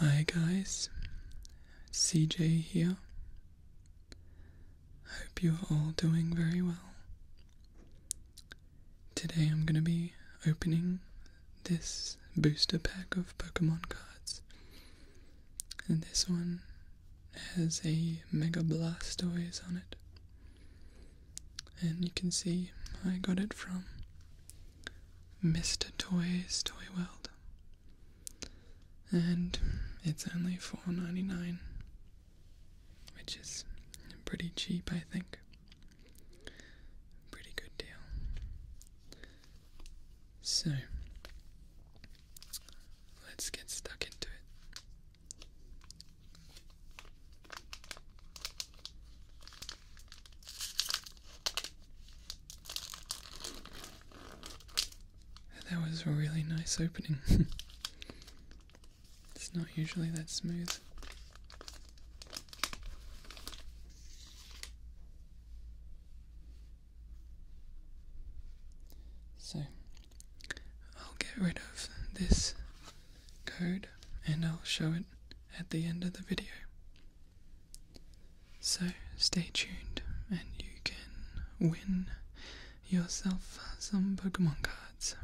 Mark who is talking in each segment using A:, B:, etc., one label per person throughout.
A: Hi guys, CJ here. I Hope you're all doing very well. Today I'm going to be opening this booster pack of Pokemon cards. And this one has a Mega Blastoise on it and you can see I got it from Mr. Toys Toy World, and it's only $4.99, which is pretty cheap, I think. Pretty good deal. So let's get stuck into it. That was a really nice opening. it's not usually that smooth. So I'll get rid of this code and I'll show it at the end of the video. So stay tuned and you can win yourself some Pokemon cards.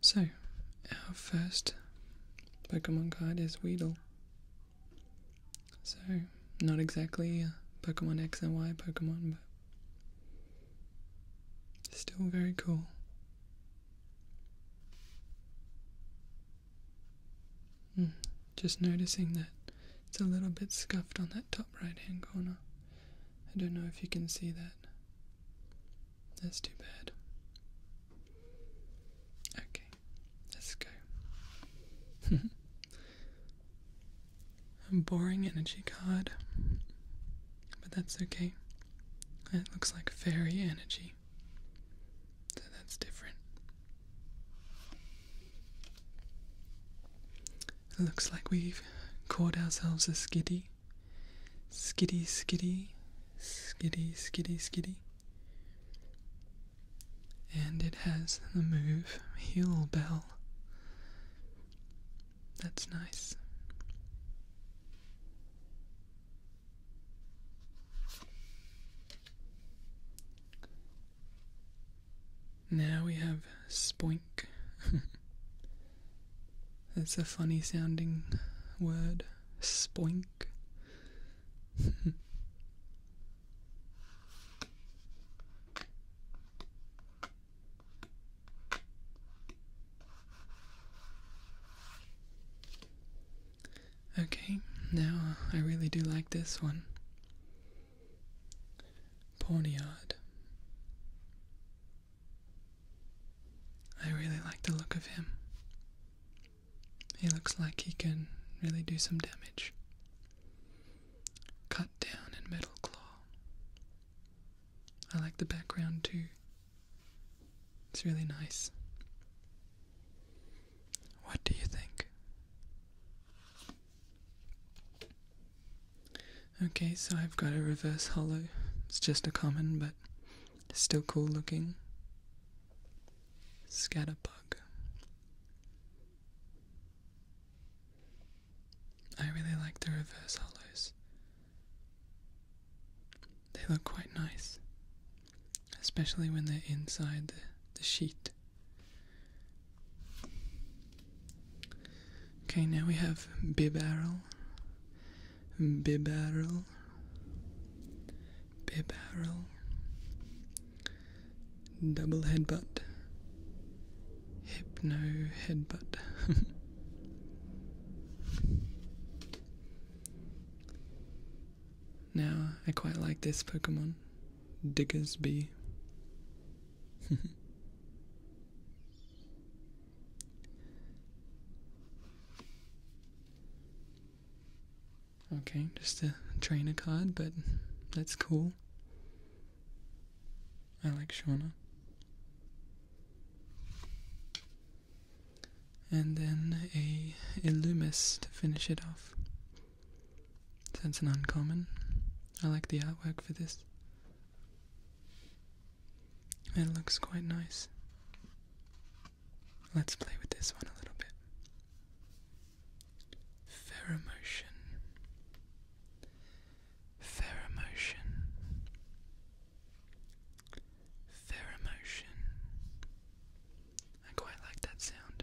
A: So, our first Pokemon card is Weedle. So, not exactly Pokemon X and Y Pokemon, but Still very cool. Hmm, just noticing that it's a little bit scuffed on that top right hand corner. I don't know if you can see that. That's too bad. Okay, let's go. A boring energy card. But that's okay. It looks like fairy energy. So that's different. looks like we've caught ourselves a skiddy. Skiddy, skiddy, skiddy, skiddy, skiddy. And it has the move Heel Bell. That's nice. Now we have spoink. That's a funny sounding word. Spoink. Okay, now uh, I really do like this one. Poniard. I really like the look of him. He looks like he can really do some damage. Cut down and metal claw. I like the background too. It's really nice. What do you think? Okay, so I've got a reverse hollow. It's just a common, but still cool looking. Scatterbug. I really like the reverse hollows. They look quite nice, especially when they're inside the, sheet. Okay, now we have bibarrel, bibarrel, bibarrel, double headbutt, hypno headbutt. now, I quite like this Pokemon, Diggersby. okay, just a trainer card, but that's cool. I like Shauna. And then a Illumis to finish it off. That's an uncommon. I like the artwork for this. It looks quite nice. Let's play with this one a little bit. Pheromotion. Pheromotion. Pheromotion. I quite like that sound.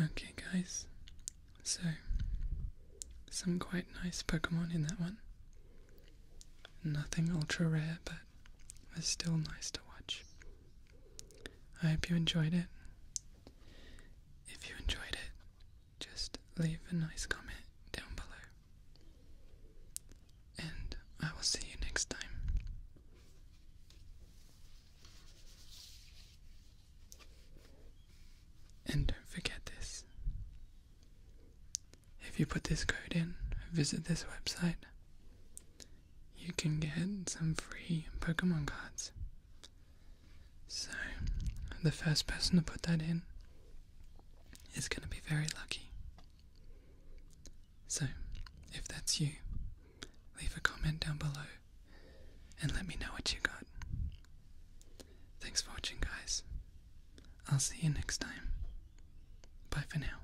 A: Okay, guys, so some quite nice Pokemon in that one. Nothing ultra rare, but it's still nice to watch. I hope you enjoyed it. If you enjoyed it, just leave a nice comment down below. And I will see you next time. And don't forget this. If you put this code in, visit this website, you can get some free Pokemon cards. So, the first person to put that in is going to be very lucky. So, if that's you, leave a comment down below and let me know what you got. Thanks for watching, guys. I'll see you next time. Bye for now.